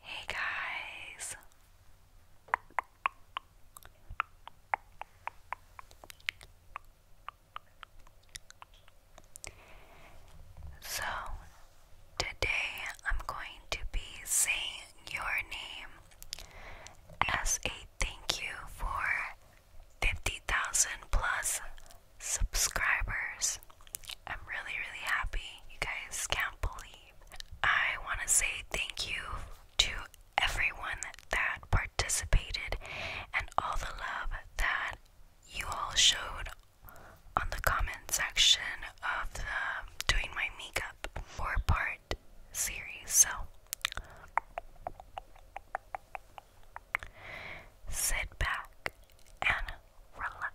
Hey guys! So, today I'm going to be saying your name as a thank you for 50,000 plus subscribers. I'm really, really happy. You guys can't believe I want to say thank you to everyone that participated and all the love that you all showed on the comment section of the Doing My Makeup four part series. So, sit back and relax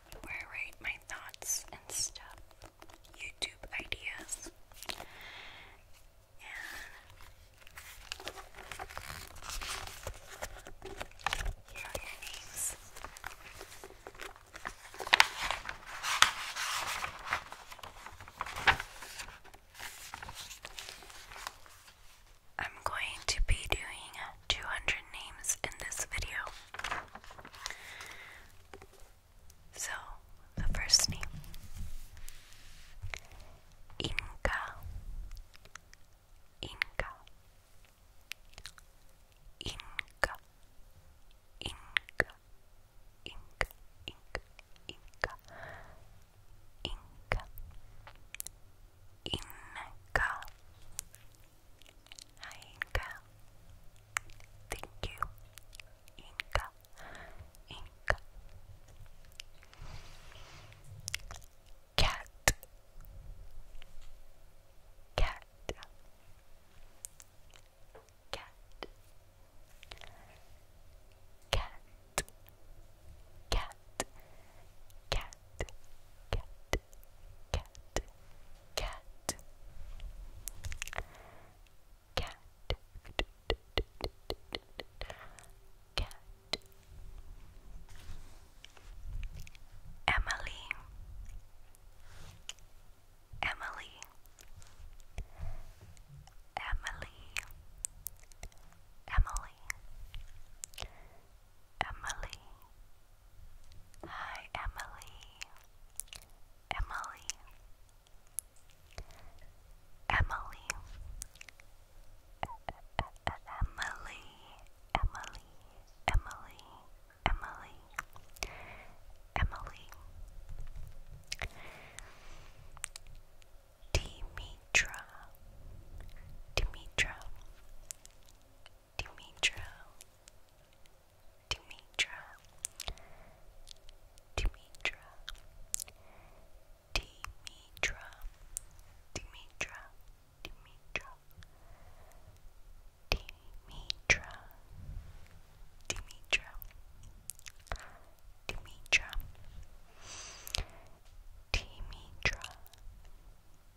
where I write my thoughts and stuff, YouTube ideas. And here I'm going to be doing 200 names in this video. So, the first name Inca, Inca, Inca, Inca, Inca, Inca, Inca, Inca, Inca, Hi Inca. Thank you. Inca. Inca. Cat. Cat. Cat. Cat. Cat. Cat cat, cat, cat, cat. Emily, Emily, Emily, Emily. Emily, Hi, Emily. Emily. Emily. Emily. Emily. Emily. Emily. Emily. Demetra. Dimitra, Dimitra, Dimitra, Dimitra, Dimitra, Dimitra, Dimitra, Dimitra, Dimitra,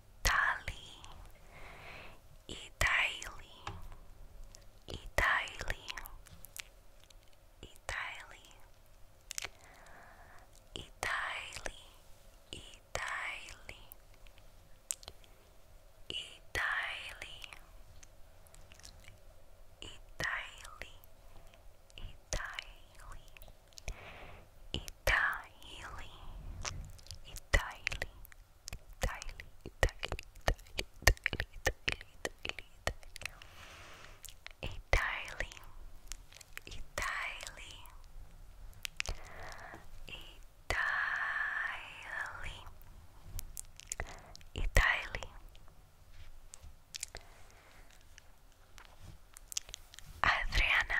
Italy, Italy, Italy, Italy, Italy, Italy, Italy, Italy, Italy, Italy, Italy, Daily, daily, daily, daily, daily, daily, Italy, Italy, Italy, Italy. Adriana,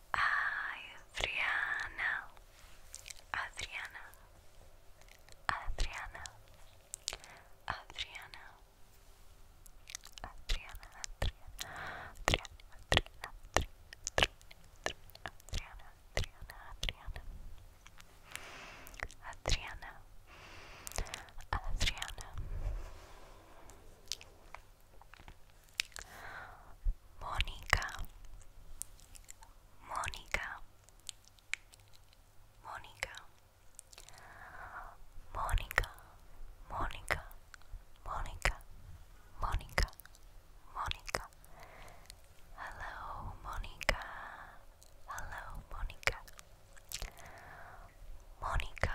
Adriana, Adriana, Adriana, Adriana, Adriana, Adriana, Adriana, Adriana, Adriana, Adriana, Adriana, Adriana, Monica, Monica, Monica, Monica, Monica, Monica, Monica, Monica. Hello, Monica. Hello, Monica. Monica,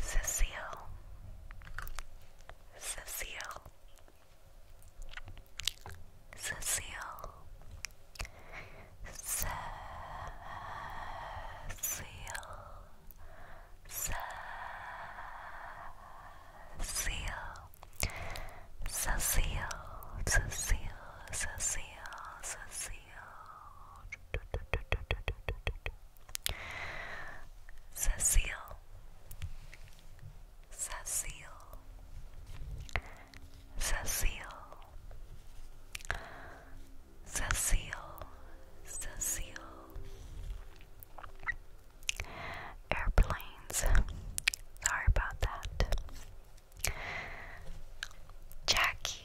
Cecile, Cecile, Cecile, Cecile, Cecile, Cecile, Cecile, Cecile, Cecile. Cecile, Cecile, Cecile, Cecile, Cecile. Airplanes. Sorry about that. Jackie,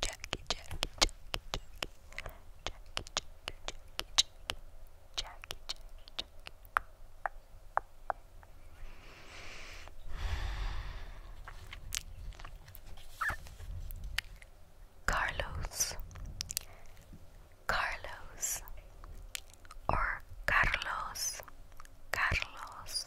Jackie, Jackie, Jackie, Jackie, Jackie, Jackie, Jackie, Jackie, Jackie, Jackie, Jackie. Carlos, Carlos, or Carlos, Carlos.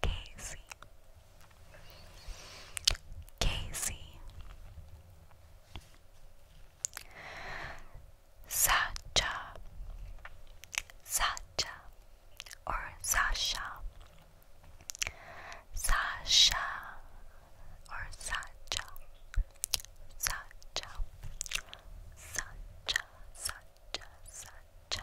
Casey, Casey, Sacha, Sacha, or Sasha, Sasha, or Sacha, Sacha, Sacha, Sacha, Sacha.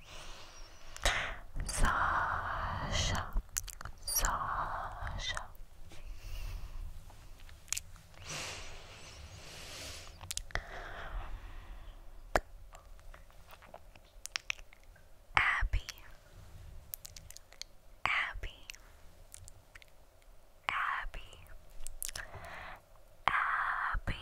Sasha, Sasha, Abby, Abby, Abby, Abby.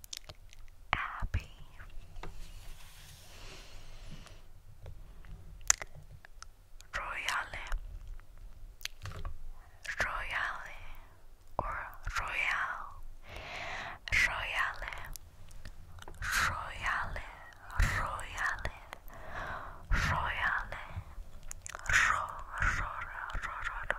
Abby. Royale, Royale, or Royale, Royale, Royale, Royale, Royale, Ro, Royale,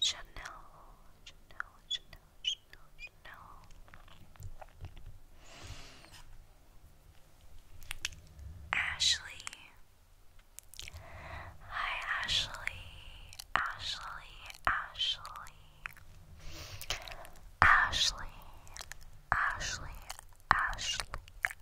Chanel, Chanel, Chanel, Chanel, Chanel. Ashley. Hi, Ashley. Ashley, Ashley. Ashley, Ashley, Ashley,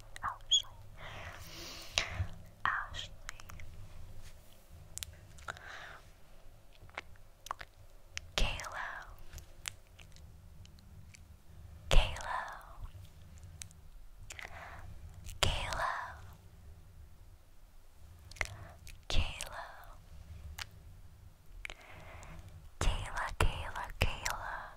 Ashley, Ashley, Kayla, Kayla, Kayla, Kayla, Kayla, Kayla, Kayla.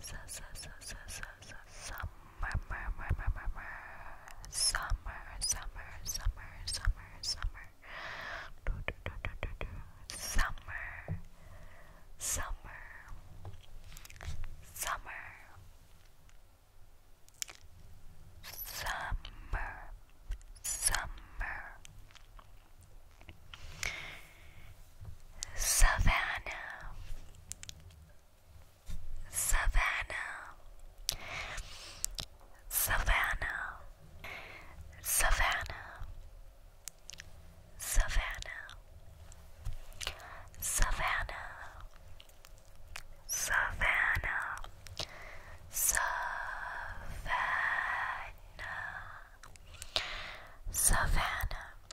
summer summer summer summer summer summer do, do, do, do, do, do. summer summer summer summer summer Savannah, Savannah, Savannah, Savannah, Savannah, Savannah, Savannah, Savannah, Savannah.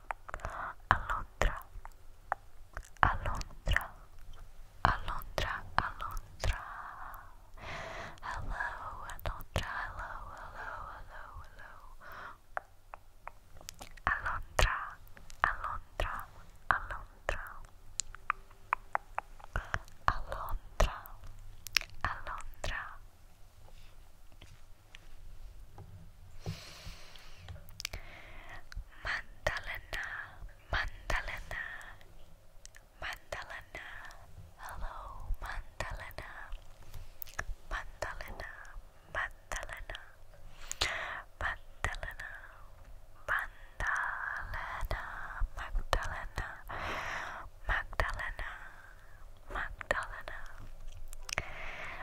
Alondra, Alondra, Alondra, Alondra. Hello, Alondra, hello, hello, hello, hello. Alondra, Alondra, Alondra. Alondra, Alondra. Alondra, Mandalana, Mandalana, Mandalana, hello, Mandalana, Mandalana, Mandalana, Mandalana, Mandalana, Magdalena, Magdalena, Magdalena.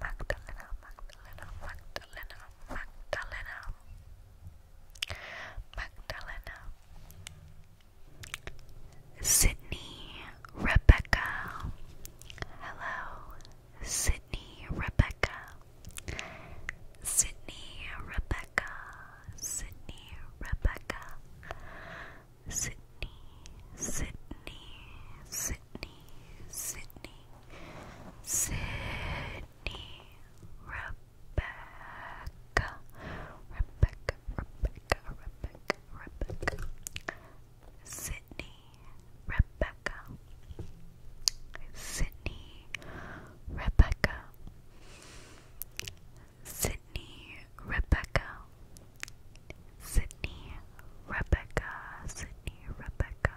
Magdalena, Magdalena, Magdalena, Magdalena, Magdalena, Sydney, Rebecca. Hello, Sydney, Rebecca. Sydney, Rebecca. Sydney, Rebecca. Sydney, Sydney, Sydney, Sydney, Sydney, Sydney, Rebecca, Rebecca, Rebecca, Rebecca, Rebecca, Sydney, Rebecca, Sydney, Rebecca, Sydney, Rebecca. Sydney, Rebecca, Sydney, Rebecca,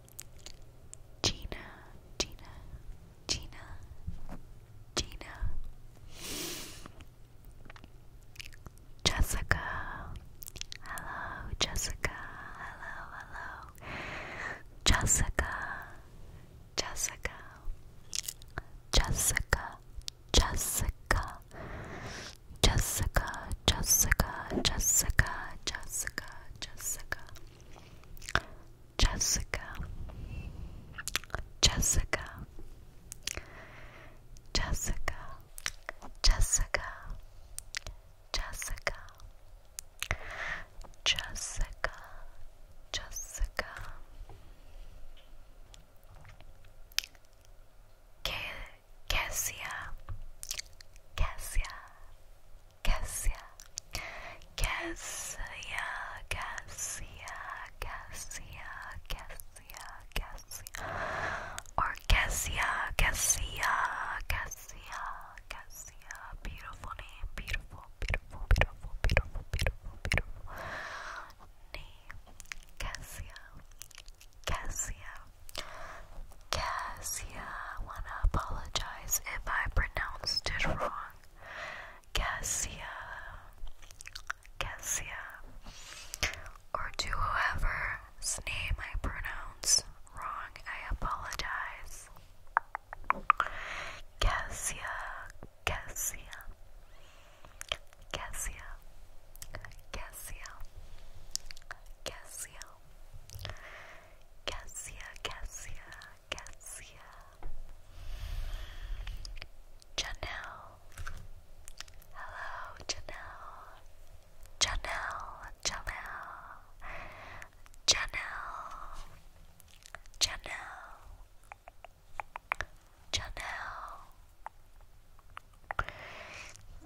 Gina, Gina, Gina, Gina, Jessica. Hello, Jessica. Hello, hello, Jessica, Jessica, Jessica, Jessica, Jessica, Jessica, Jessica, Jessica, Jessica. Jessica, Jessica, Jessica, Jessica, Jessica, Jessica, Jessica, Cassia, Cassia, Cassia, Cassia, Cassia, Cassia, Cassia, Cassia, or Cassia, Cassia, Cassia, Cassia. Beautiful name, beautiful, beautiful, beautiful, beautiful, beautiful, beautiful name. Cassia, Cassia. Cassia, I want to apologize if I pronounced it wrong. Cassia, Cassia, or to whoever's name I pronounce wrong, I apologize. Cassia, Cassia, Cassia, Cassia, Cassia, Cassia, Cassia. Cassia, Janelle. Hello, Janelle. Janelle, Janelle, Janelle, Janelle, Janelle, Janelle,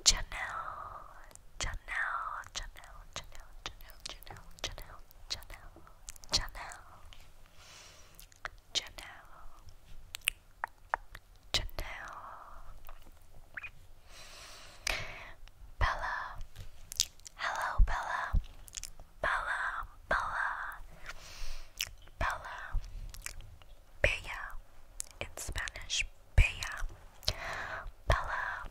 Janelle, Janelle, Janelle, Janelle, Janelle, Janelle, Janelle, Janelle, Janelle, Janelle, Bella, hello Bella, Bella, Bella, Bella, Bella, in Spanish, Bella, Bella.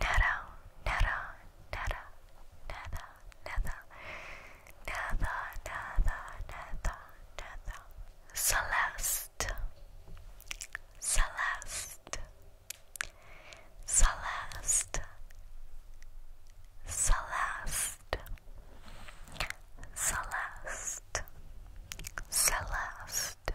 Nada, nada, nada, nada, nada, nada, nada, nada, nada. Celeste, Celeste, Celeste, Celeste, Celeste, Celeste. Celeste,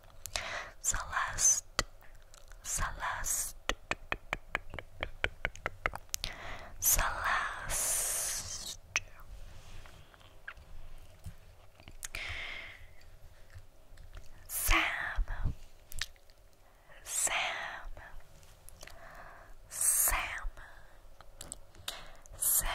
Celeste, Celeste, Celeste. Sam, Sam, Sam, Sam,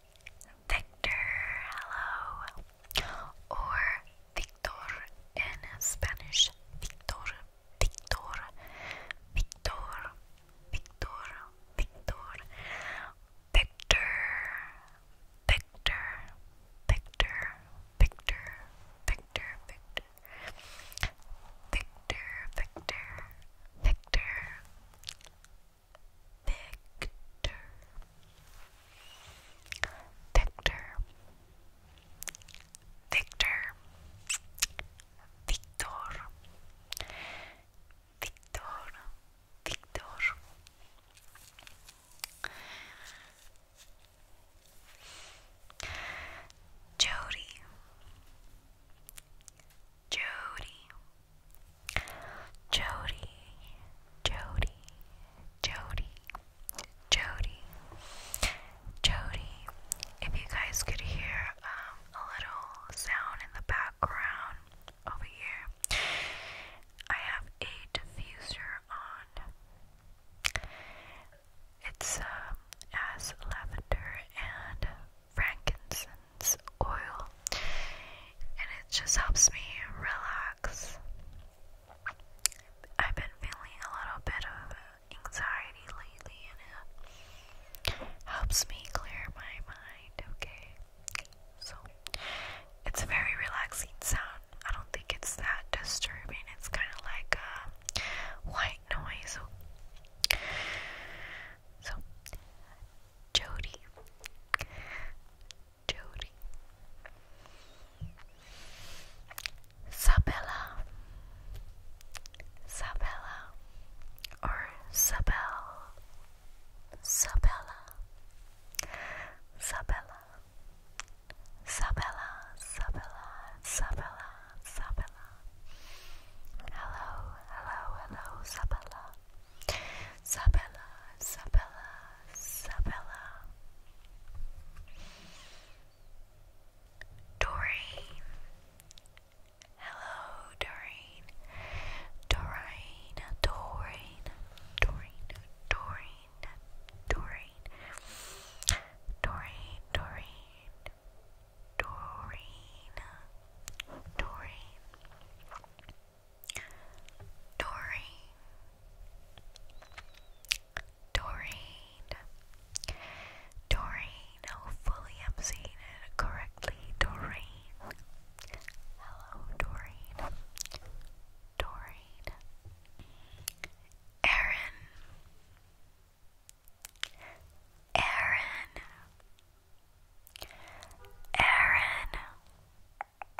Victor, hello, or Victor in Spanish. Victor, Victor, Victor, Victor, Victor, Victor, Victor, Victor, Victor, Victor, Victor. Victor, Victor, Victor. Victor. Victor. Victor. Victor. Victor. Jody. Jody. Jody, Jody, Jody, Jody, Jody. If you guys could hear um, a little sound in the background over here, I have a diffuser on. It's um, as lavender and frankincense oil and it just helps me relax. I've been feeling a little bit of anxiety lately, and it helps me clear my mind, okay? So, it's a very relaxing sound. I don't think it's that disturbing. It's kind of like a white noise. So, Jody. Jody, Sabella, Sabella, or Sabel, Sabella, Sabella, Sabella, Sabella, Sabella. Hello, hello, hello, Sabella. Sabella, Sabella, Sabella. Doreen. Hello, Doreen. Doreen, Doreen, Doreen, Doreen, Doreen. Doreen, Doreen, Doreen, Doreen. Dory, Doreen, Doreen, hopefully I'm saying correctly, Doreen, hello Doreen, Doreen, Aaron, Aaron, Aaron,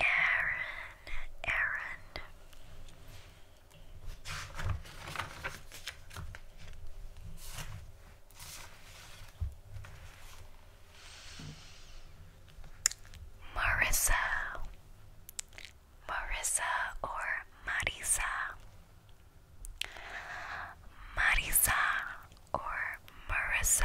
Aaron, Aaron. Marissa, Marissa or Marisa, Marisa or Marissa,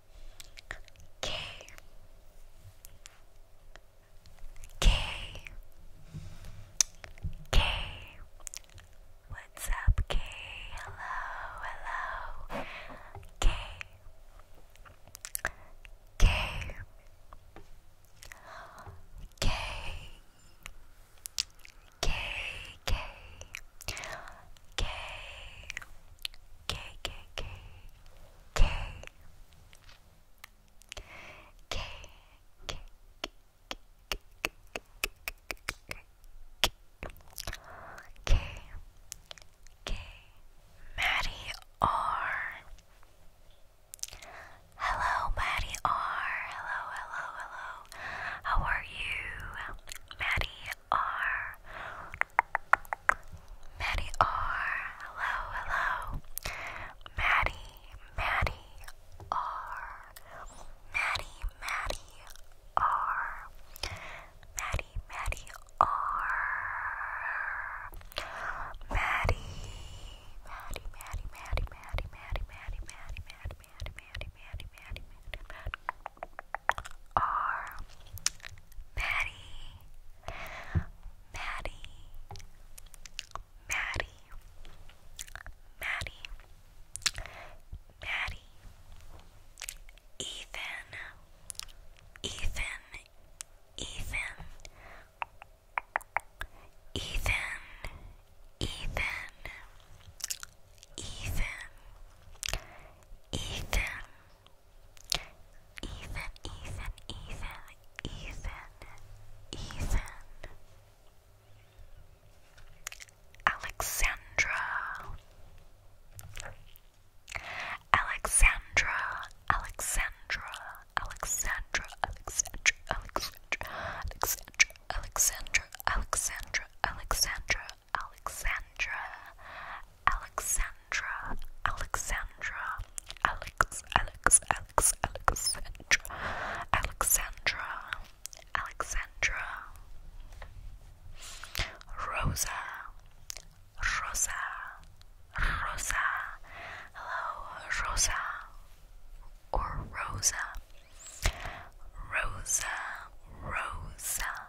K K K What's up K? Hello, hello. K K K K K K K K K K K K K K Maddie R Hello Maddie R Hello hello hello How are you Maddie are. Maddie R. Hello, hello. Maddie, Maddie R. Maddie, Maddie R. Maddie, Maddie R. Maddie, Maddie, Maddie, Maddie, Maddie, Maddie, Maddie, Maddie, Maddie, Maddie, Maddie, Maddie, Maddie, Maddie, Maddie, Maddie, Maddie, are Maddie, Maddie, Maddie, Maddie, Maddie, Ethan, Ethan, Ethan, Ethan, Ethan, Ethan, Ethan, Ethan, Ethan, Ethan, Ethan, Ethan, Alexandra, Alexandra, Alexandra, Alexandra, Alexandra, Alexandra, Alexandra, Alexandra, Alexandra, Alexandra, Alexandra, Alexandra, Alex, Alex, Alex, Alexandra, Alexandra, Alexandra, Rosa, Rosa, Rosa, hello, Rosa, or Rosa, Rosa, Rosa.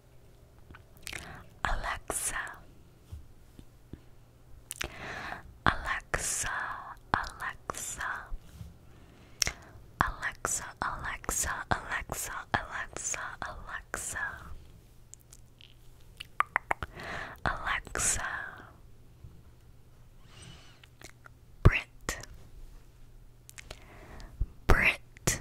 Alexa, Alexa, Alexa, Alexa, Alexa, Alexa, Alexa, Alexa, Alexa, Brit, Brit.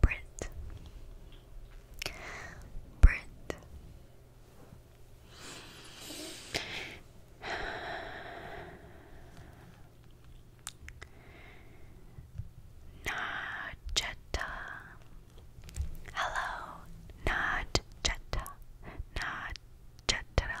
Brit Brit Najeta Hello Najeta Najeta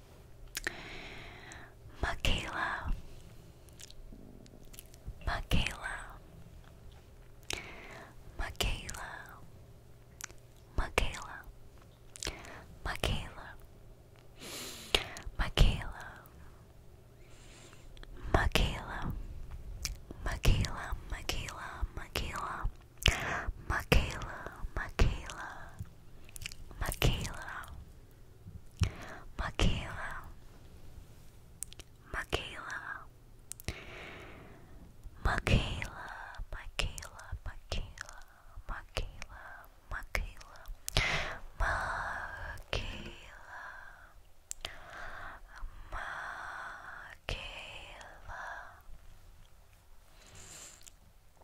Michaela, Michaela, Michaela, Michaela, Michaela, Michaela, Michaela, Michaela, Michaela, Michaela, Michaela, Michaela, Michaela, Michaela, Michaela, Michaela, Michaela, Michaela, Michaela, Michaela, Michaela,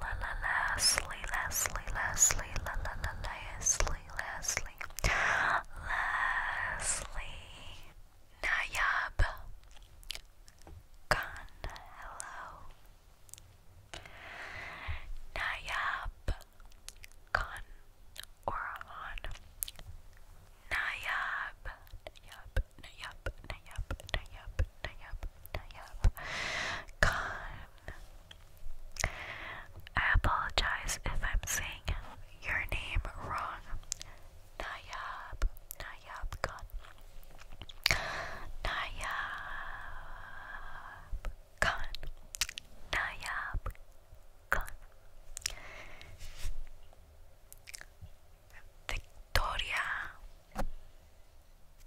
La la Leslie, Leslie, Leslie, la la la Leslie, Leslie, Leslie, Nayab, Khan, hello, Nayab, Khan, or on, Nayab, Nayab, Nayab, Nayab, Nayab, Nayab, Nayab Khan. I apologize if I'm saying your name wrong. Nayab, Nayab Khan. Nayab Khan. Nayab Khan. Victoria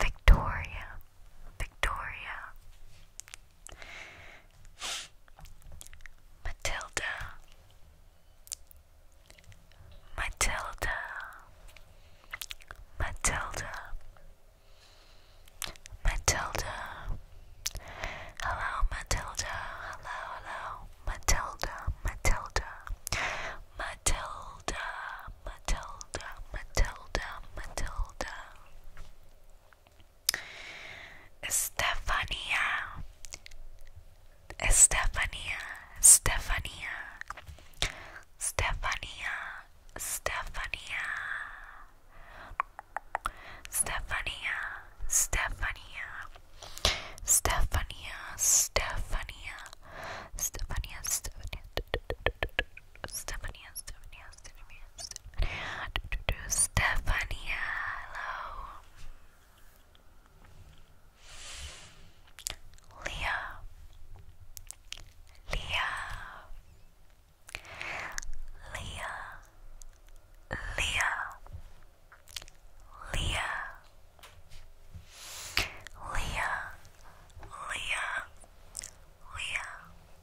Victoria, Victoria, Matilda, Matilda, Matilda, Matilda. Hello, Matilda. Hello, hello, Matilda, Matilda, Matilda. Matilda, Matilda, Matilda. Stefania, Stefania, Stefania, Stefania, Stefania, Stefania, Stefania, Stefania, Stefania, Stefania, Stephanie, Stephanie, Stephanie, Stephania, Stephania, hello. Leah, Leah, Leah, Leah, Leah, Leah, Leah, Leah.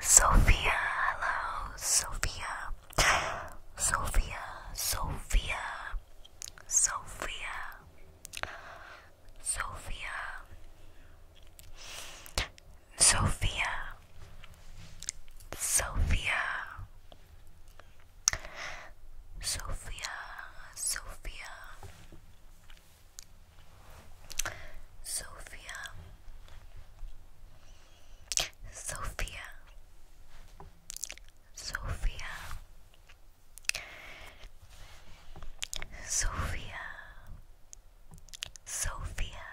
Sophia, hello, Sophia, Sophia, Sophia, Sophia, Sophia, Sophia, Sophia, Sophia, Sophia, Sophia, Sophia, Sophia, Sophia,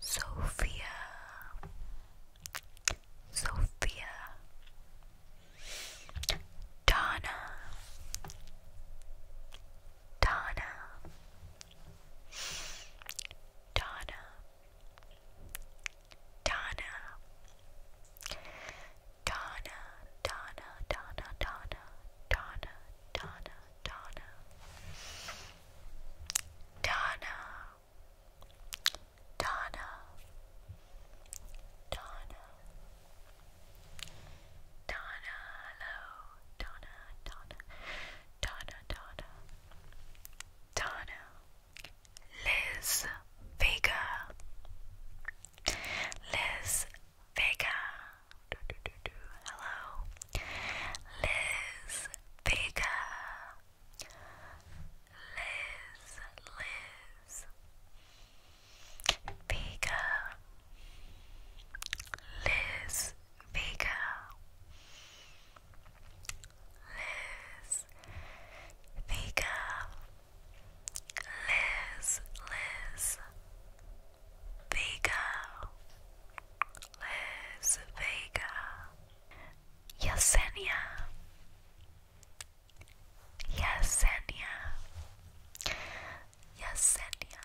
Sophia, Sophia, Donna, Donna. Donna, Donna, Donna, Donna, Donna, Donna, Donna, Donna, Donna, Donna, Donna, Donna, Donna, hello, Donna, Donna. Donna, Donna, Donna, Liz Vega, Liz Vega, do, do, do, do. hello, Liz Vega, Liz, Liz Vega, Liz bigger. Liz, bigger. Liz, Liz, bigger. Liz, bigger. Yesenia. Yesenia. Yesenia.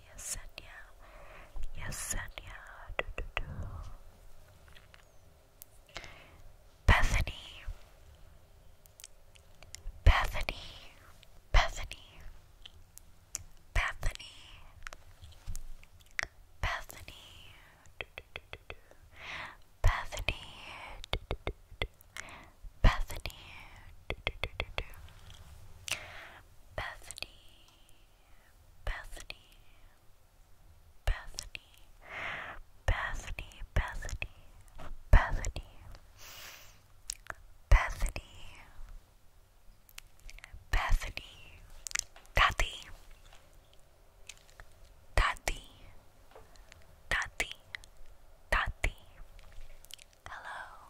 yes and yeah, Bethany, Bethany, Bethany, Bethany, Bethany, Bethany, Bethany, Bethany, Bethany, Bethany, Bethany, Bethany, Bethany, Bethany, Tati, Tati, Tati, Hello,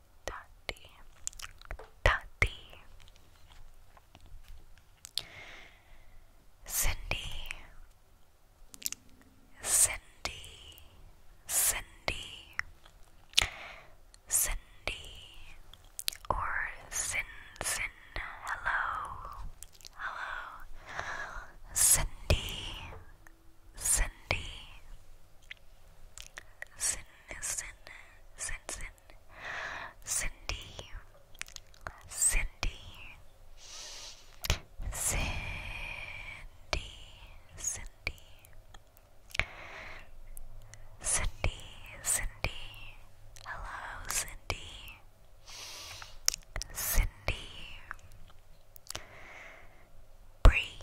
Tati, Tati, Cindy, Cindy, Cindy, Cindy, or Sin Sin. Hello, hello, Cindy, Cindy. Sin, sin, sin, sin, Cindy, Cindy, Cindy, Cindy, Cindy, Cindy, hello, Cindy, Cindy, Bree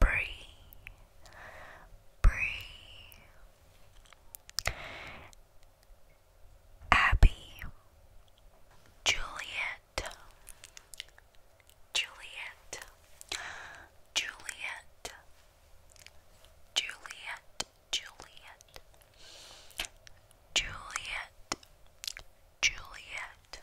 Bree, Bree, Abby, Juliet, Juliet, Juliet, Juliet, Juliet, Juliet, Juliet.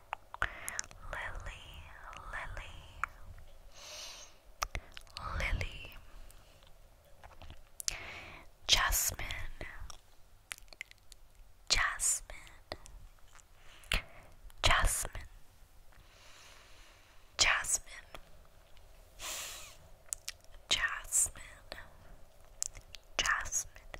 Lily, Lily, Lily, Jasmine, Jasmine, Jasmine, Jasmine, Jasmine, Jasmine,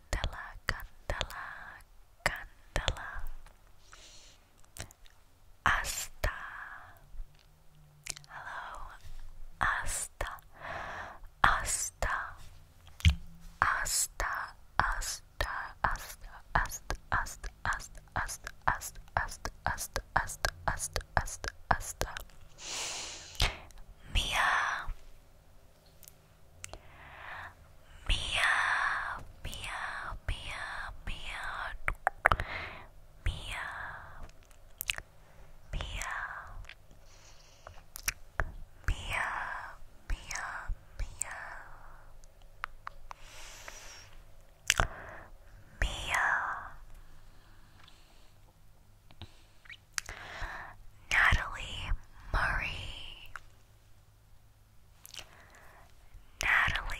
Candela, Candela, Candela. Hasta. Hello. Hasta. Hasta. Hasta. Hasta. Hasta. Hasta. Hasta. Hasta. Hasta. Hasta. Hasta. Hasta. Hasta. Hasta. Hasta. Mia mia, mia, mia, mia, mia, mia, mia, mia, meow, meow. Natalie Murray, Natalie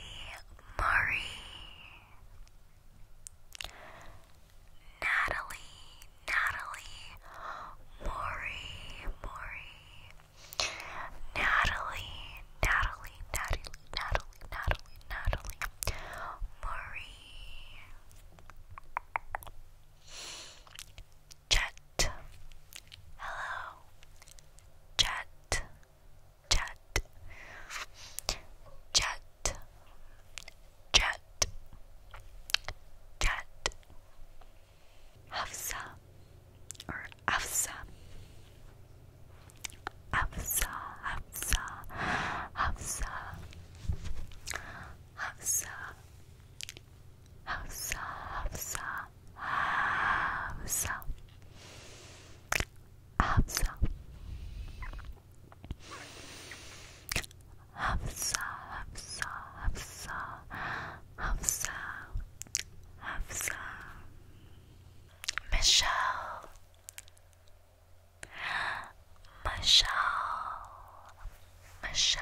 Murray, Natalie, Natalie Murray, Murray, Natalie, Natalie, Natalie, Natalie, Natalie, Natalie Murray. Chat. Hello. Chat. Chat. Chat. Chat. Chat. Hafsa or Afsa. Hafsa, Hafsa, Hafsa, Hafsa, Hafsa, Hafsa, Hafsa, Hafsa, Hafsa, Hafsa, Hafsa, Hafsa, Hafsa, Michelle, Michelle, Michelle.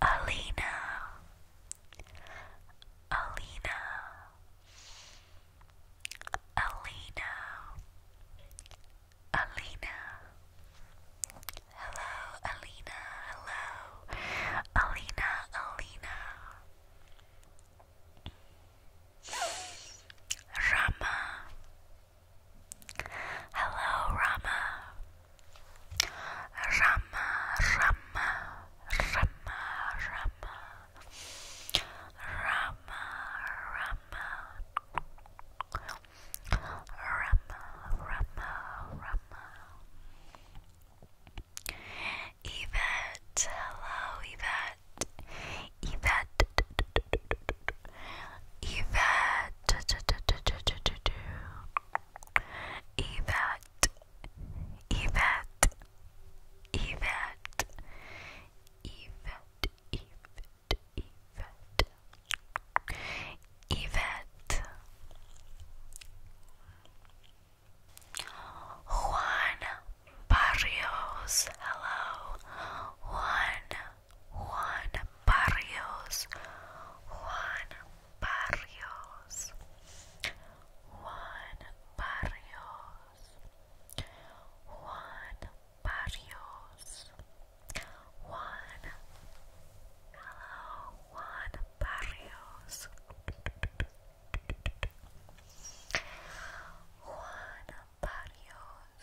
Alina, Alina, Alina, Alina. Hello, Alina. Hello, Alina. Alina. Rama, Hello, Rama. Rama, Rama, Rama, Rama. Rama, Rama. Rama, Rama, Rama. Yvette, hello, Yvette. Yvette. Yvette do, do, do, do, do, do, Juan Barrios, hello, Juan Juan Barrios, Juan Barrios, Juan Barrios, Juan Barrios, Juan, hello, Juan Barrios. Juan Barrios,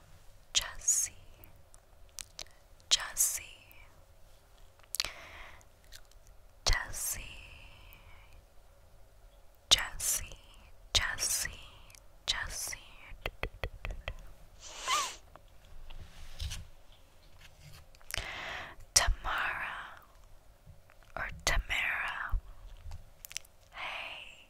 Jesse, Jesse, Jesse, Jesse, Jesse, Jesse. Tamara or Tamara. Hey,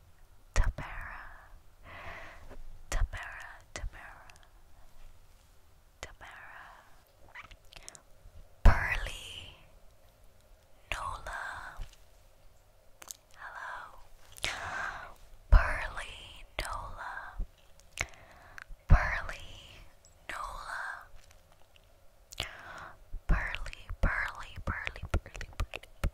Tamara, Tamara, Tamara, Tamara, Pearly, Nola, hello, Pearly, Nola, Pearly, Nola, Pearly, Pearly, Pearly, Pearly, Pearly.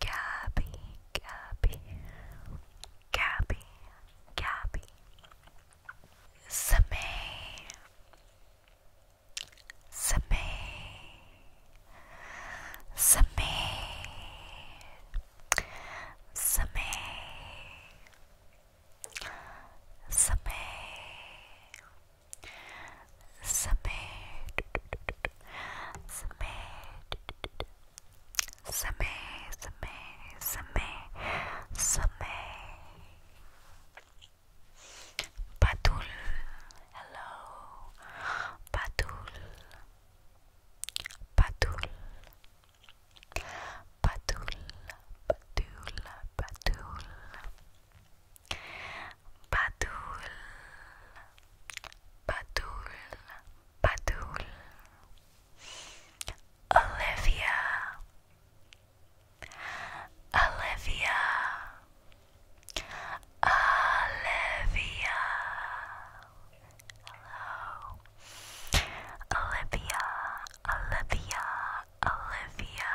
Gabby, Gabby, Gabby, Gabby, Samay, Samay, Samay, Samay, Samay, Samay, Samay, Samay, Samay, Samay, Patul, hello, Patul, Patul, Patul, Patul, Patul. Batul, Batul, Batul. Olivia, Olivia, Olivia. Hello, Olivia, Olivia, Olivia.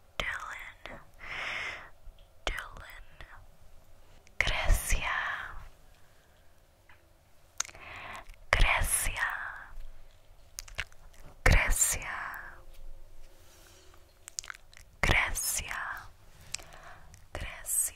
Dylan, Dylan, Grecia, Grecia, Grecia, Grecia, Grecia, Grecia.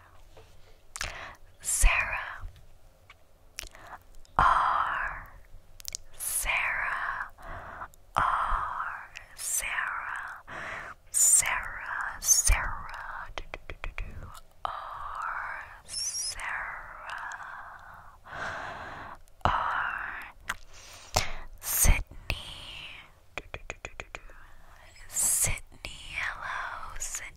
Sarah R Sarah R Sarah Sarah Sarah R Sarah R Sydney Sydney hello Sydney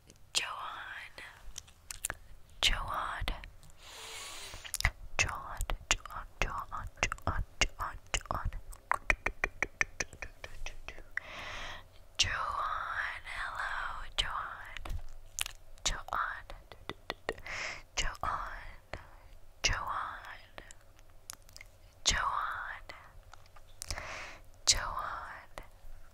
Johan, Johan, John, John, John, John, John, John, Johan, hello, Johan, Johan, Johan, Johan, Johan, Johan,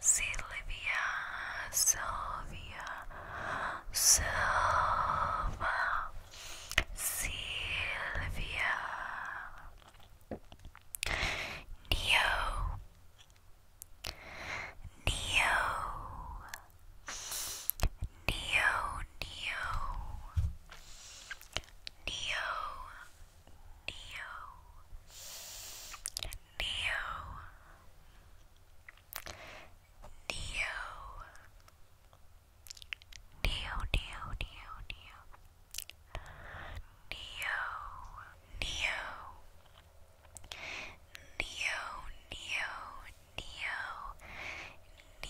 Sylvia, Sylvia, Silva, Sylvia, Neo, Neo, Neo, Neo, Neo. Neo, Neo, Neo, Neo, Neo, Neo, Neo, Neo, Neo, Neo,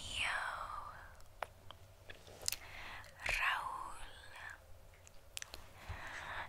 Neo, Raul.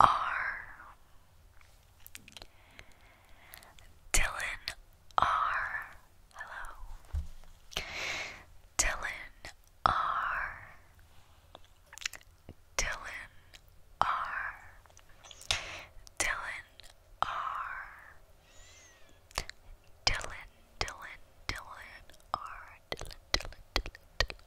R. Dylan R. Hello. Dylan R. Dylan R. Dylan R. Dylan, Dylan, Dylan R. Dylan, Dylan, Dylan,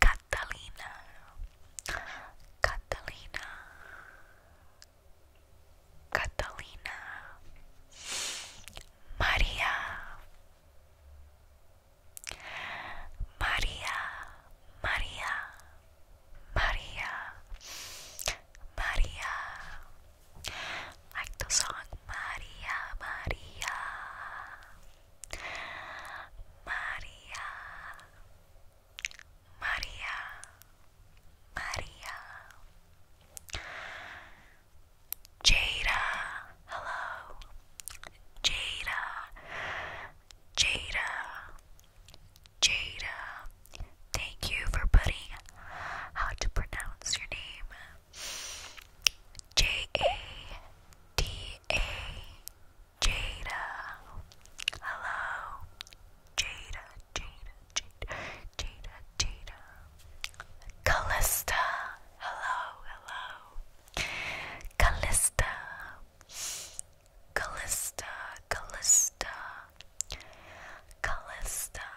Catalina, Catalina, Catalina, Maria, Maria, Maria, Maria, Maria. Like the song Maria, Maria. Maria, Maria, Maria. Jada, hello. Jada, Jada, Jada. Thank you for putting how to pronounce your name. J A D A Jada. Hello. Jada, Jada, Jada, Jada, Jada. Callista. Hello, hello. Callista. Callista, Callista. Callista.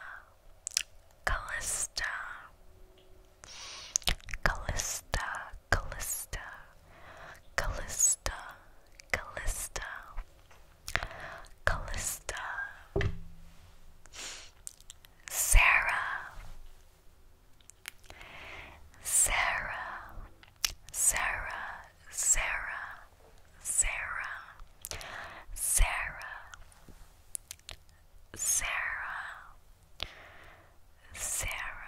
Callista. Callista, Callista, Callista, Callista, Callista, Sarah, Sarah, Sarah, Sarah, Sarah, Sarah, Sarah. Sarah,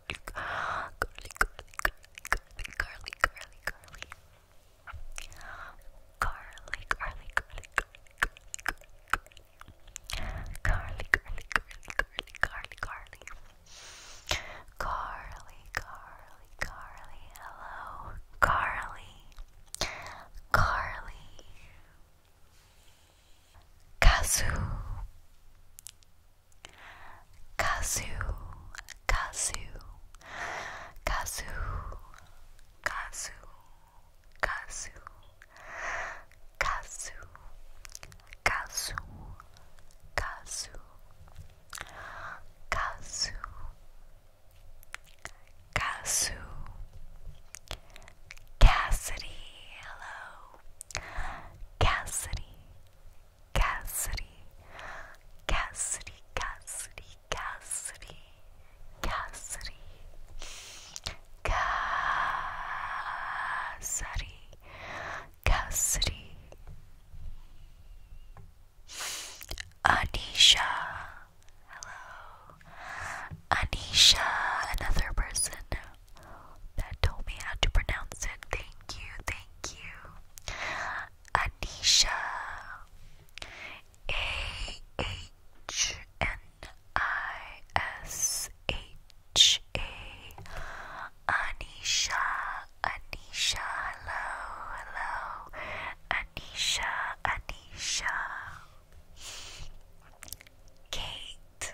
curly, curly, curly, curly, curly, curly, curly, curly, curly, curly, curly, curly, curly, curly, curly, curly, Carly, Carly, Carly, hello, Carly, Carly, Kazu Kazu Kazu Kazu Kazu Kazu Kazu Kazu Kazu Kazu Kazu Cassidy, hello Cassidy, Cassidy, Cassidy, Cassidy, Cassidy, Cassidy, Cassidy, Cassidy, Anisha. Hello, Anisha, another person that told me how to pronounce it. Thank you, thank you. Anisha. A H N I S H A. Anisha. Anisha. Hello, hello. Anisha. Anisha. Kate,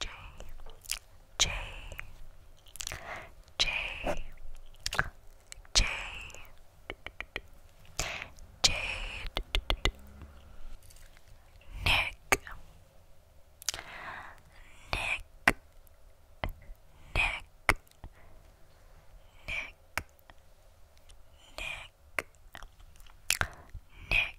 J J J J J Nick Nick Nick Nick Nick Nick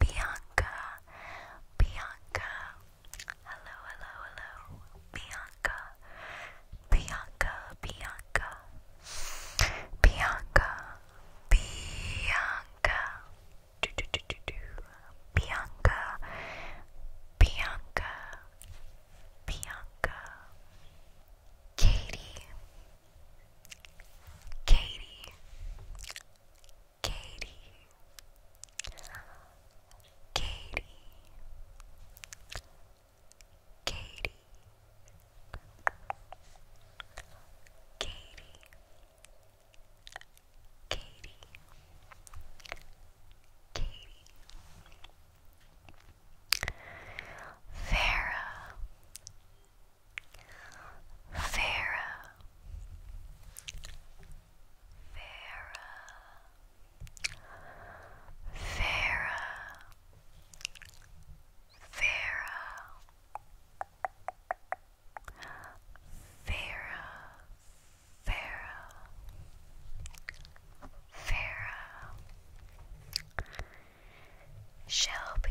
Bianca, Bianca. Hello, hello, hello. Bianca, Bianca, Bianca. Bianca, Bianca. Do, do, do, do, do. Bianca, Bianca, Bianca. Katie, Katie. Katie, Katie, Katie, Katie, Katie, Katie, Vera, Vera, Vera Vera Vera Vera Vera Vera Shelby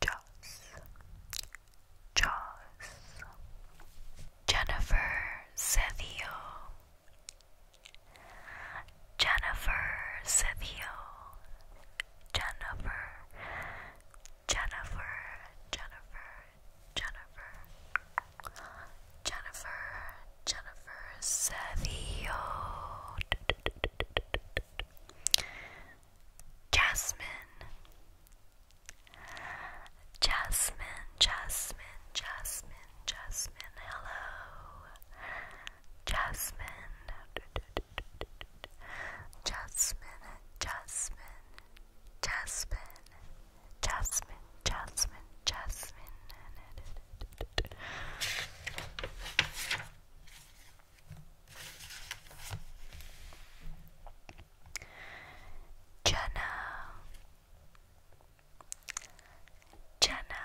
Joss, Joss, Jennifer Sethio, Jennifer Sethio, Jennifer, Jennifer, Jennifer, Jennifer, Jennifer, Jennifer Sethio. Jasmine, Jasmine, Jasmine, Jasmine, Jasmine, hello. Jasmine, Jasmine, Jasmine, Jasmine, Jasmine, Jasmine, Jasmine. Jenna Jenna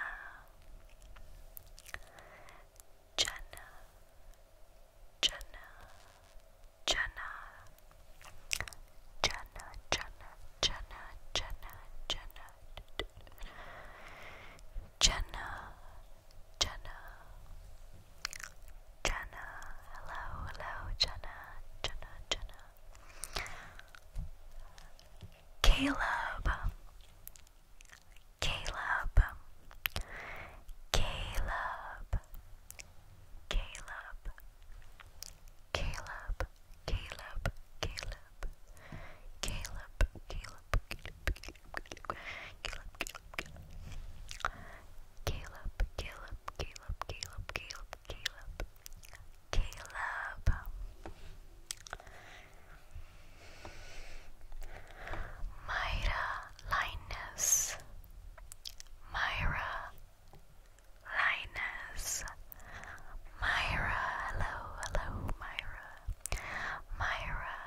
Jenna Jenna Jenna Jenna Jenna Jenna Jenna Jenna Jenna Jenna Jenna Jenna, hello, hello, Jenna, Jenna, Jenna. Caleb, Caleb, Caleb, Caleb, Caleb, Caleb, Caleb, Caleb, Caleb, Caleb, Caleb, Caleb, Caleb, Caleb, Caleb, Caleb, Caleb, Caleb, Caleb, Caleb, Caleb. Myra Linus, Myra Linus, Myra, hello, hello, Myra, Myra.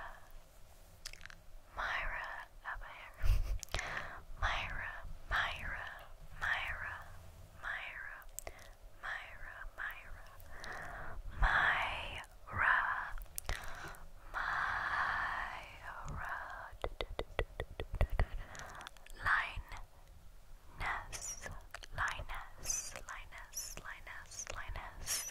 Myra up here. Myra, Myra, Myra, Myra, Myra, Myra, Myra, Myra, Linus, Linus, Linus, Linus, Linus.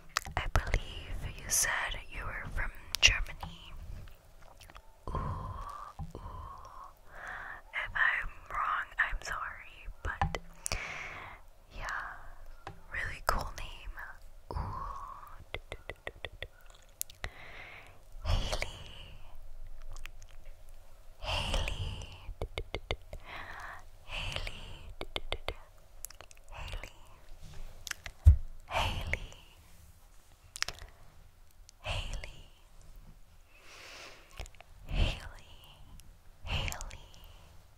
I believe you said you were from Germany. Ooh, If I'm wrong, I'm sorry, but yeah, really cool name. Ooh. Haley. Haley. Haley. Haley. Haley. Haley, Haley, Haley,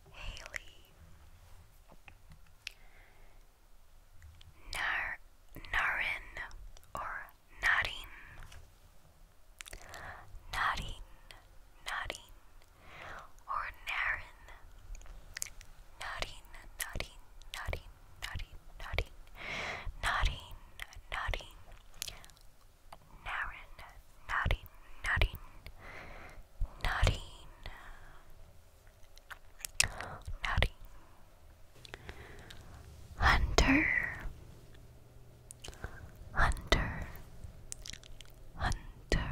Haley. Nar or Narin, Narin, Narin, or Narin nodding, nodding, nodding, nodding, nodding, nodding, nodding, Naren, nodding, nodding, nodding, nodding, Hunter, Hunter, Hunter,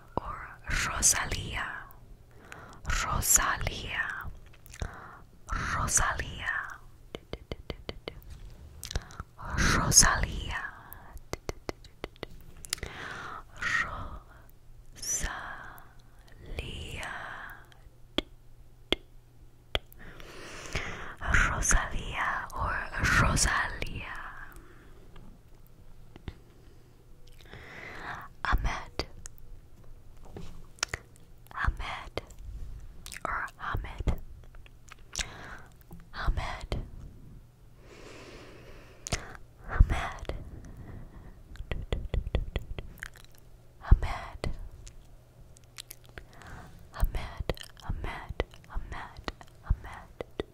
or Rosalia, Rosalia, Rosalia, Rosalia, Rosalia, Rosalia or Rosalia. Ahmed. Ahmed or Ahmed. Ahmed. Ahmed. Ahmed. Ahmed. Ahmed. Ahmed. Ahmed.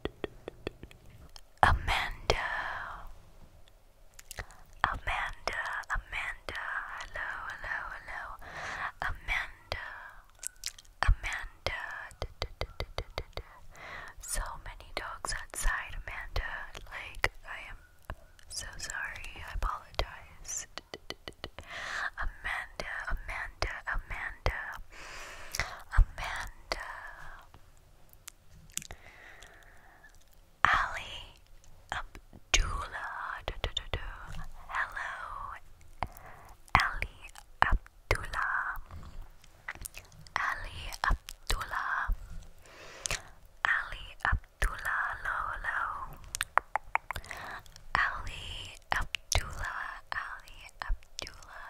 Amanda. Amanda, Amanda, hello, hello, hello. Amanda, Amanda. So many dogs outside, Amanda. Like, I am so sorry. I apologize. Amanda, Amanda, Amanda. Amanda. Ali Abdullah. Hello, Ali Abdullah. Ali Abdullah. Ali Abdullah. Hello, Ali Abdullah. Ali Abdullah.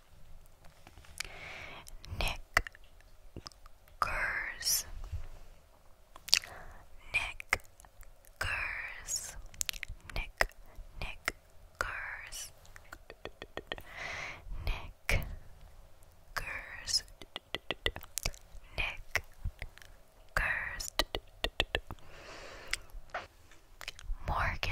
Nick Gers Nick Gers Nick Nick Morgan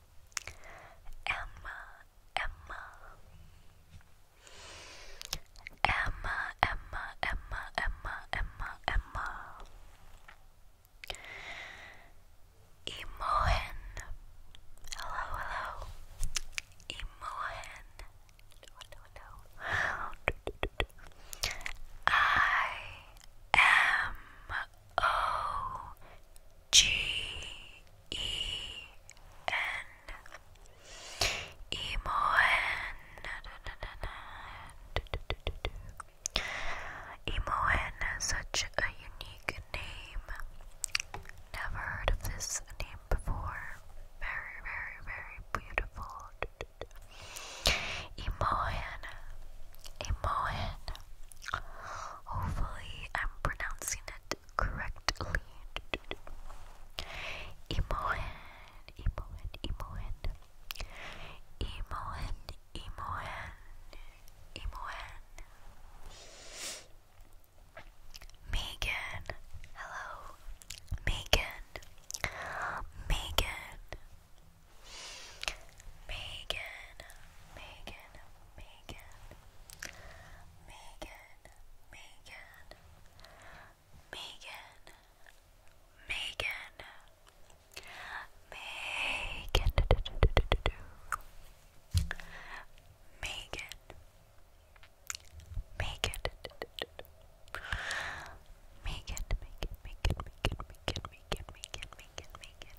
Emma, Emma, Emma, Emma, Emma, Emma, Emma, Emma, Emohen. Hello, hello, Emohen. Hello, hello. I am O G E N Emoen Emoen such a unique name. Never heard of this name before. Very, very, very beautiful. Emoen. Emoen. Hopefully, I'm pronouncing it correctly. Emohen, Emohen, Emohen, Emohen, Emohen, Emohen. Megan, hello, Megan, Megan, Megan, Megan, Megan. Megan, Megan, Megan, Megan, Megan, Megan, Megan, Megan, Megan, Megan, Megan, Megan, Megan, Megan, Megan, Megan, Megan,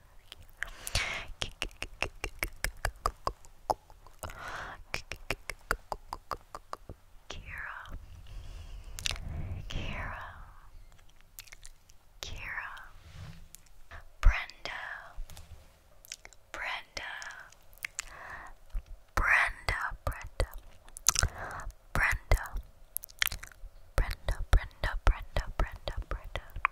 Kira, Kira, Kira, Brenda, Brenda, Brenda, Brenda, Brenda, Brenda, Brenda, Brenda, Brenda, Brenda,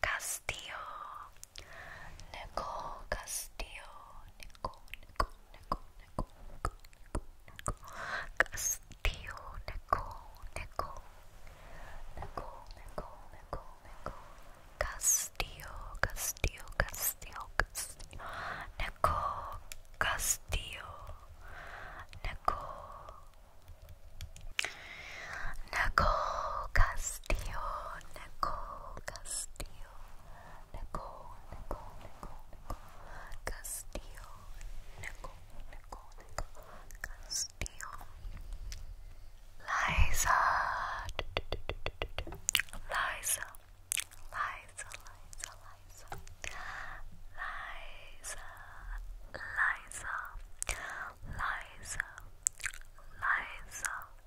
Castillo, Nicole Castillo, Nicole, Nicole, Nicole, Nicole, Nicole, Nicole, Nicole Castillo, Nicole, Nicole, Nicole, Nicole, Nicole, Nicole, Castillo, Castillo, Castillo, Castillo, Nicole Castillo, Nicole. Castillo, Nicole, Castillo, Nicole, Nicole, Nicole, Nicole, Castillo, Nicole, Nicole, Nicole, Liza, Liza, Liza, Liza, Liza, Liza, Liza, Liza.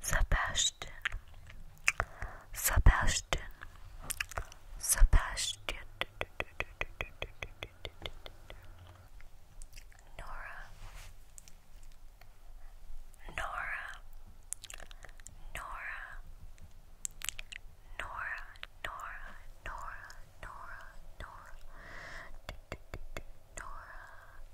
Sebastian, Sebastian, Sebastian, Nora, Nora, Nora, Nora, Nora, Nora, Nora, Nora,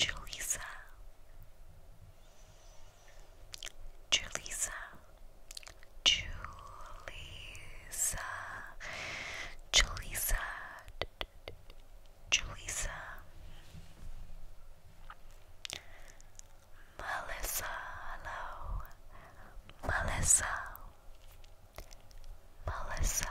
Julissa, Julissa, Julissa, Julissa, Julissa, Melissa, hello, Melissa, Melissa,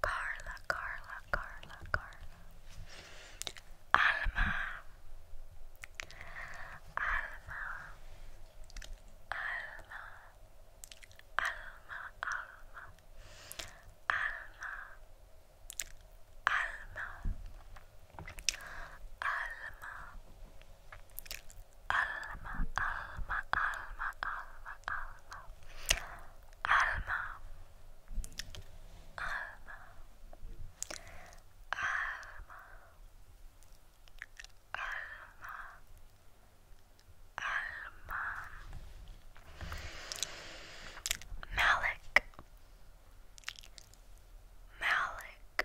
Carla. Carla, Carla, Carla, Carla. Alma. Alma. Alma. Alma, Alma. Alma. Alma. Alma. Alma, alma, alma, alma, alma, alma, alma, alma, alma, alma, alma, Malik, Malik, Malik,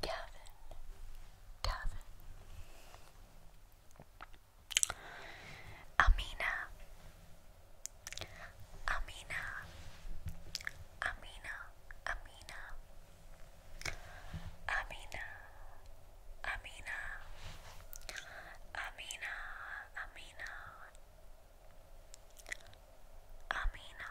Gavin, Gavin, Amina, Amina, Amina, Amina, Amina, Amina, Amina. Amina,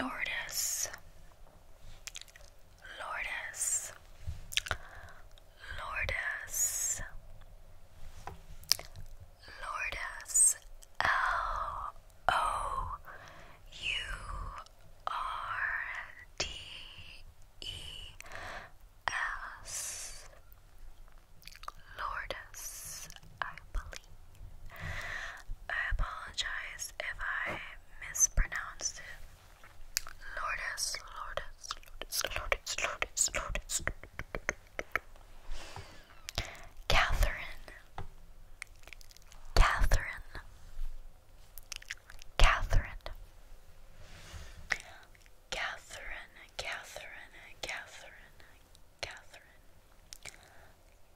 Lourdes, Lourdes, Lourdes, Lourdes, L O U R D E S. Lourdes, I believe. I apologize if I mispronounced it. Lourdes, Lourdes, Lourdes, Lourdes, Lourdes, Lourdes. Catherine, Catherine, Catherine, Catherine, Catherine, Catherine, Catherine. Catherine,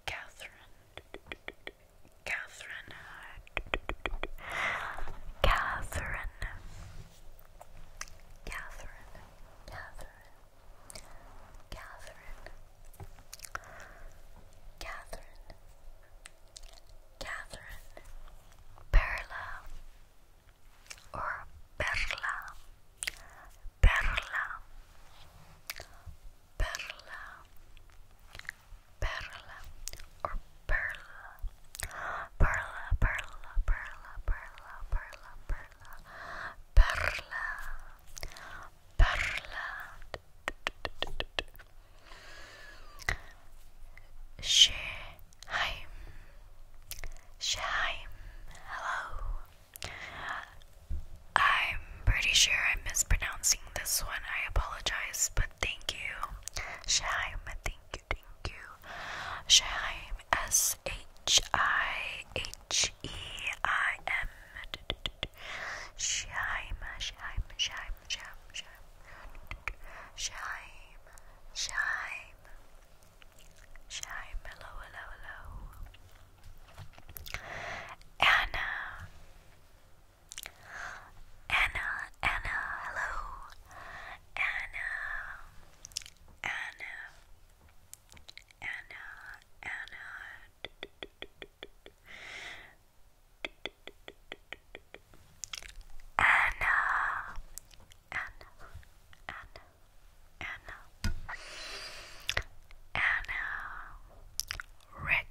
Catherine, Catherine, Catherine, Catherine, Catherine, Catherine, Catherine, Catherine, Perla, or Perla, Perla, Perla. Perla, perla or perla perla perla perla perla perla perla perla perla Shaheim Shaheim hello I'm pretty sure I'm mispronouncing this one I apologize but thank you. Shaim, thank you, thank you. Shaim, S H I H E I M. Shaim, Shaim, Shaim, Shaim, Shaim. Shaim, Shaim. Shaim, hello, hello, hello. Anna. Anna, Anna, hello, Anna, Anna, Anna, Anna. Anna, Anna, Anna, Anna, Anna, Rick,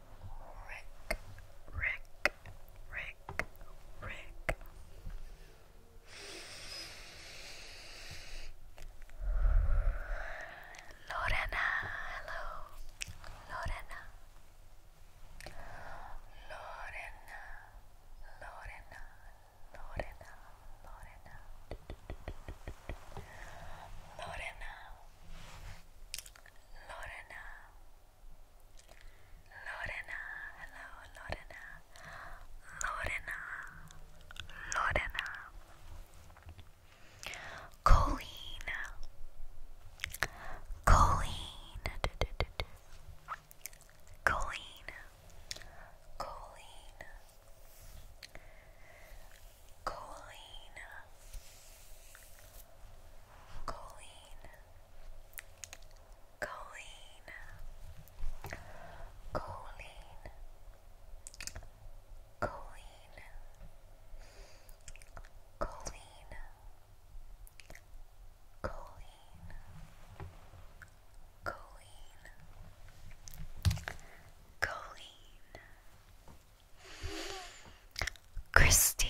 Rick, Rick, Rick, Rick. Lorena, hello, Lorena, Lorena, Lorena, Lorena, Lorena, Lorena, Lorena, Lorena, hello Lorena, Lorena, Lorena, Colleen, Colleen, do, do, do, Colleen, Colleen, Colleen, Colleen, Colleen, Colleen, Colleen, Colleen. Christy,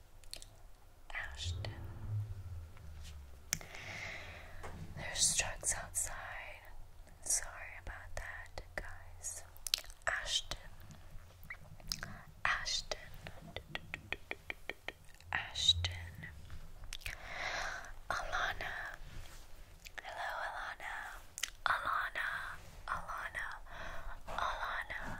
Ashton. There's trucks outside. Sorry about that, guys. Ashton. Ashton. Ashton. Alana. Hello, Alana. Alana. Alana. Alana.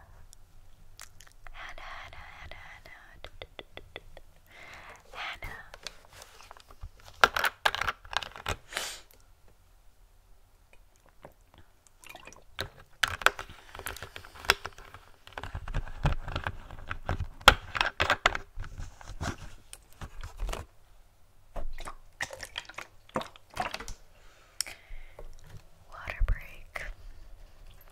Hannah, Hannah, Hannah, Hannah. Hannah. Water break.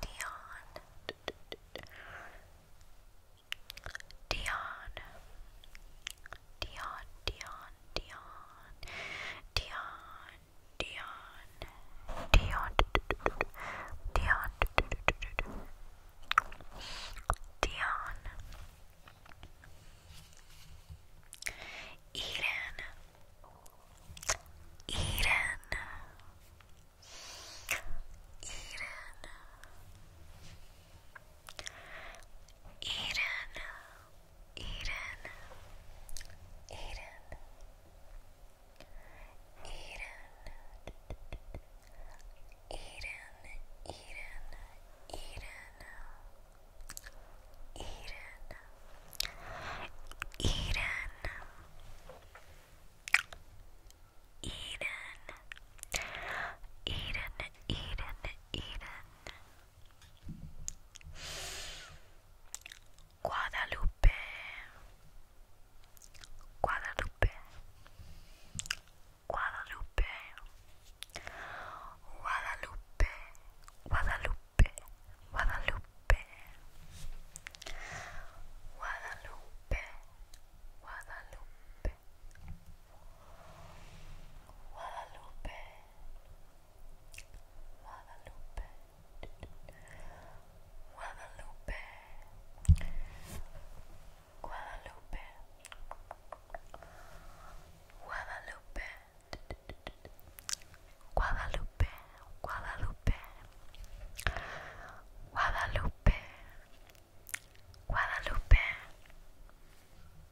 Dion, Dion, Dion, Dion, Dion, Dion, Dion, Dion, Dion, Dion, Eden, Eden, Eden Eden Eden Eden Eden Eden Eden Eden Eden Eden, Eden, Eden, Eden, Guadalupe, Guadalupe, Guadalupe, Guadalupe, Guadalupe, Guadalupe. Guadalupe, Guadalupe, Guadalupe, Guadalupe, Guadalupe, Guadalupe, Guadalupe, Guadalupe, Guadalupe, Guadalupe, Guadalupe,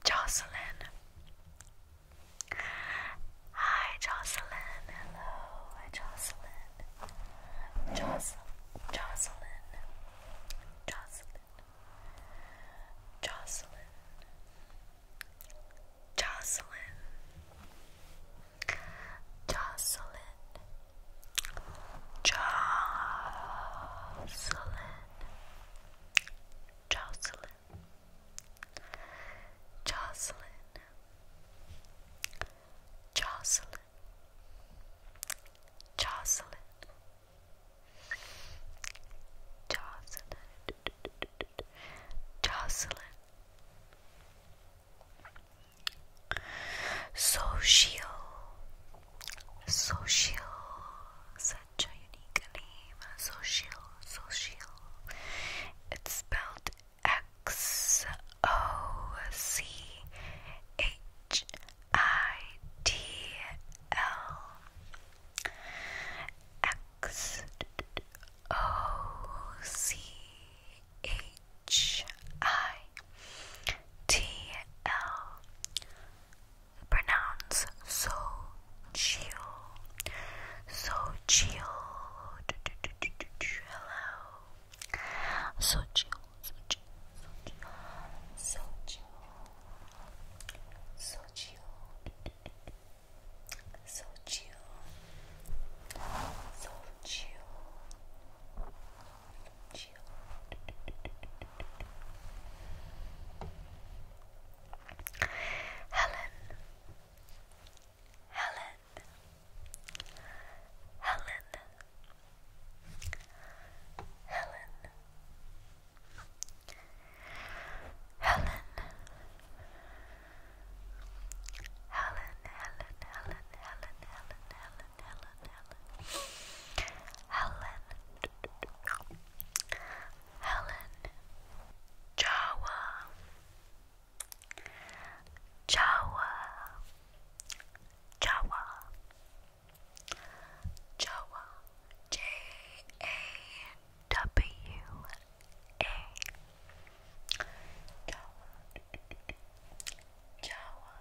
Jocelyn. Hi, Jocelyn. Hello, Jocelyn. Jocelyn, Jocelyn, Jocelyn, Jocelyn. Jocelyn, Jocelyn, Jocelyn, Jocelyn, Jocelyn, Jocelyn, Jocelyn, Jocelyn, Jocelyn. Social, social, such a unique name. Social, social. It's spelled X O C H I D L. X O C H H I T L pronounce so chill so chill hello so chill so chill so chill so chill so chill so chill chill. Helen, Helen, Helen, Helen, Helen, Helen, Helen, Helen, Helen, Helen, Helen. Helen, Helen, Helen, Helen, Jawa, Jawa, Jawa, Jawa, J A W A, Jawa, Jawa.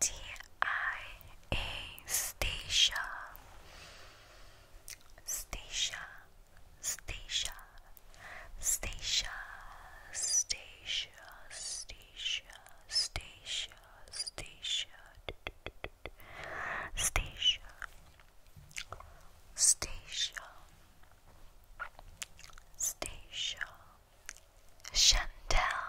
T-I-A Stasia Stasia Stasia Stasia Stasia Stasia Stasia Stasia Stasia Stasia Stasia Chantel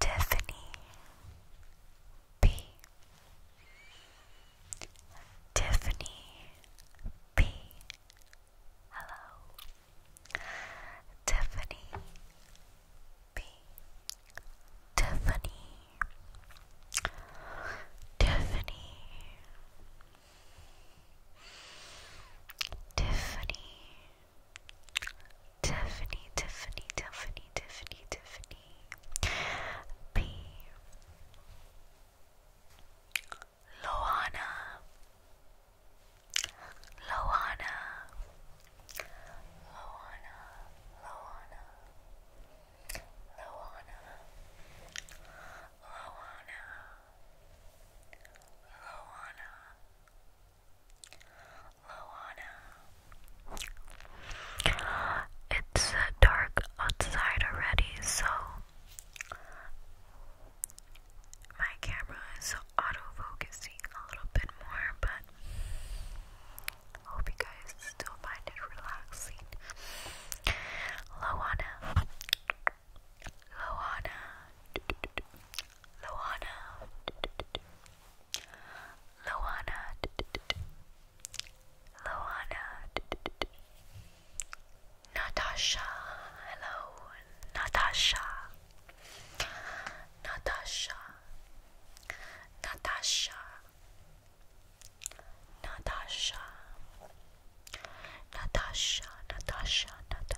Tiffany P. Tiffany P. Hello. Tiffany P. Tiffany. Tiffany Tiffany, Tiffany, Tiffany, Tiffany, Tiffany, Tiffany, B. Loana, Loana, Loana, Loana, Loana, Loana, Loana, Loana Loana It's uh, dark outside already so my camera is auto a little bit more but hope you guys still find it relaxing Loana Loana Loana, Loana, Loana, Natasha, hello, Natasha, Natasha, Natasha, Natasha, Natasha, Natasha.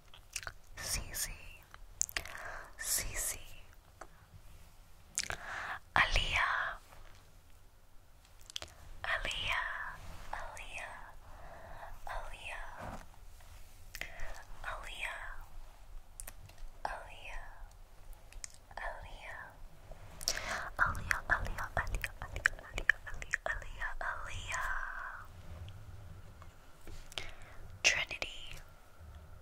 Cece, Cece, Aaliyah, Aaliyah, Aaliyah, Aaliyah, Aaliyah, Aaliyah, Aaliyah, Aaliyah, Aaliyah, Aaliyah, Aaliyah, Aaliyah, Aaliyah, Trinity.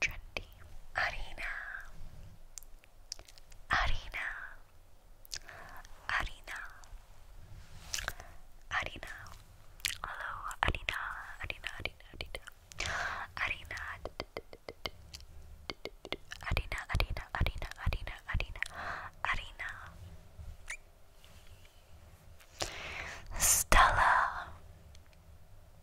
trendy arena arena arena arena hello arena arena arena arena arena arena arena arena arena arena arena Stella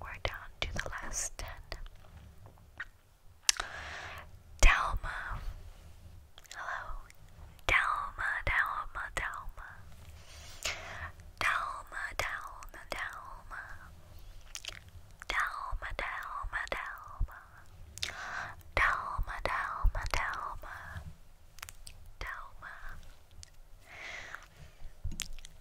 We're down to the last ten. Dalma. Hello. Dalma, Dalma, Dalma. Dalma, Dalma, Dalma. Dalma, Dalma, Dalma. Dalma,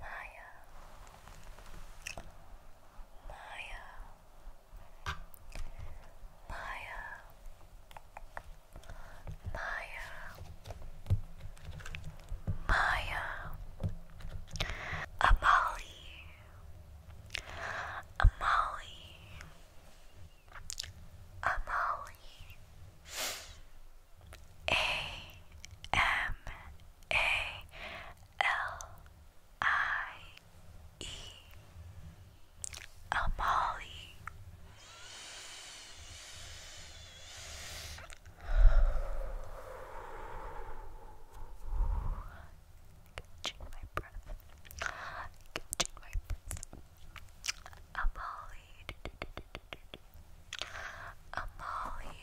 Maya, Maya, Maya, Maya, Maya, Amali, Amali, a M A L I E Amali Catching my breath, catching my breath. Amali, Amali,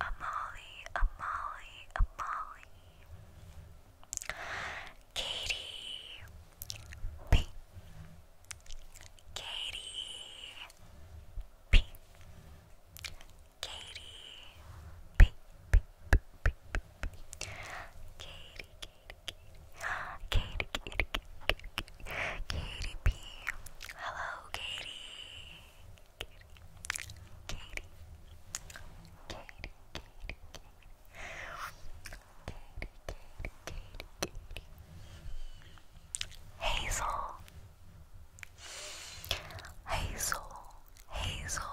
Amali, Amali, Amali, Katie, P, Katie, P, Katie, P, P, P, P, P, P, Katie, Katie, Katie, Katie, Katie, Katie, Katie, Katie P. Hello, Katie. Katie, Katie, Katie, Katie, Katie, Katie, Katie, Katie, Katie. Hazel, Hazel, Hazel,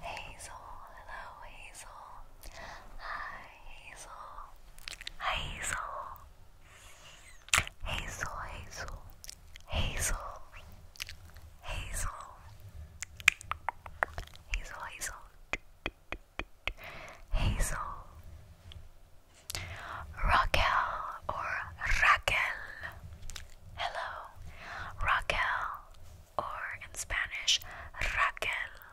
Hazel. Hello, Hazel. Hi, Hazel, Hazel, Hazel, Hazel, Hazel, Hazel, Hazel, Hazel, Hazel, Raquel or Raquel. Hello, Raquel, or in Spanish, Raquel.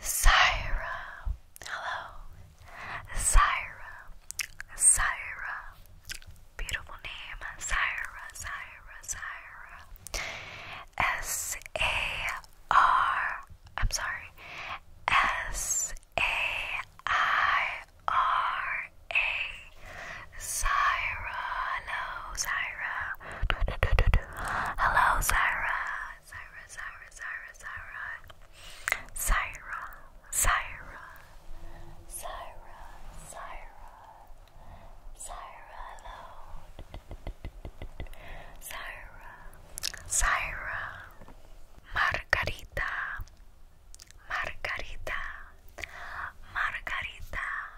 Syra, hello, Syra, Syra, beautiful name, Syra, Syra, Syra, S A R, I'm sorry, S A I R A Zyra, hello, Zyra. Hello, Zyra. Zyra, Zyra, Zyra, Zyra. Zyra, Zyra. Zyra, Zyra. Zyra, hello. Zyra, Zyra. Margarita. Margarita. Margarita.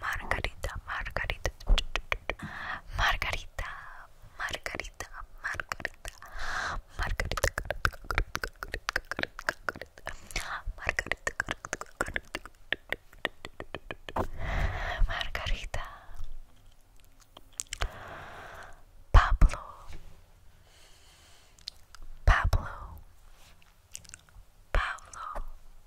Margarita, Margarita, Margarita, Margarita, Margarita, Margarita, Margarita, Pablo, Pablo, Pablo.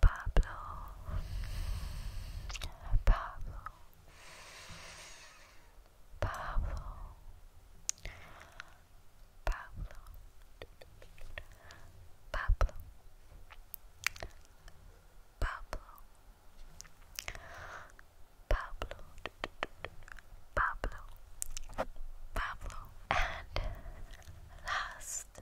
Pablo Pablo Pablo Pablo Pablo Pablo Pablo Pablo and last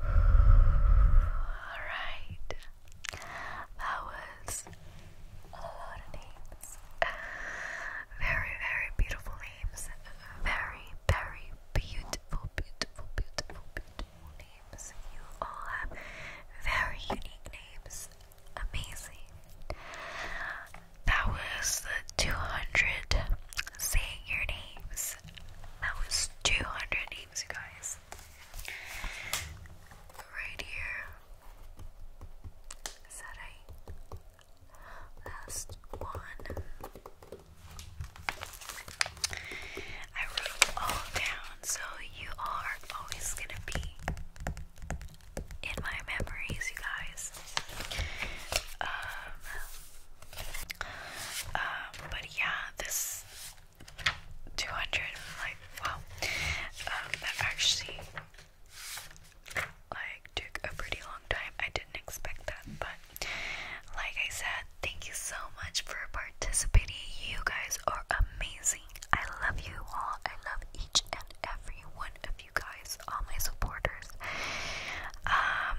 Alright. That was a lot of names. Very, very beautiful names. Very, very beautiful, beautiful, beautiful, beautiful names. You all have very unique names. Amazing. That was the 200 saying your names. That was 200 names, you guys. Right here. Is that right? Last one. I wrote them all down, so you are always gonna be in my memories, you guys. Um, um, but yeah, this 200, like, wow, um, that actually, like, took a pretty long time. I didn't expect that, but like I said, thank you so much for participating. You guys are amazing. I love you all. I love each and every one of you guys, all my supporters. Um,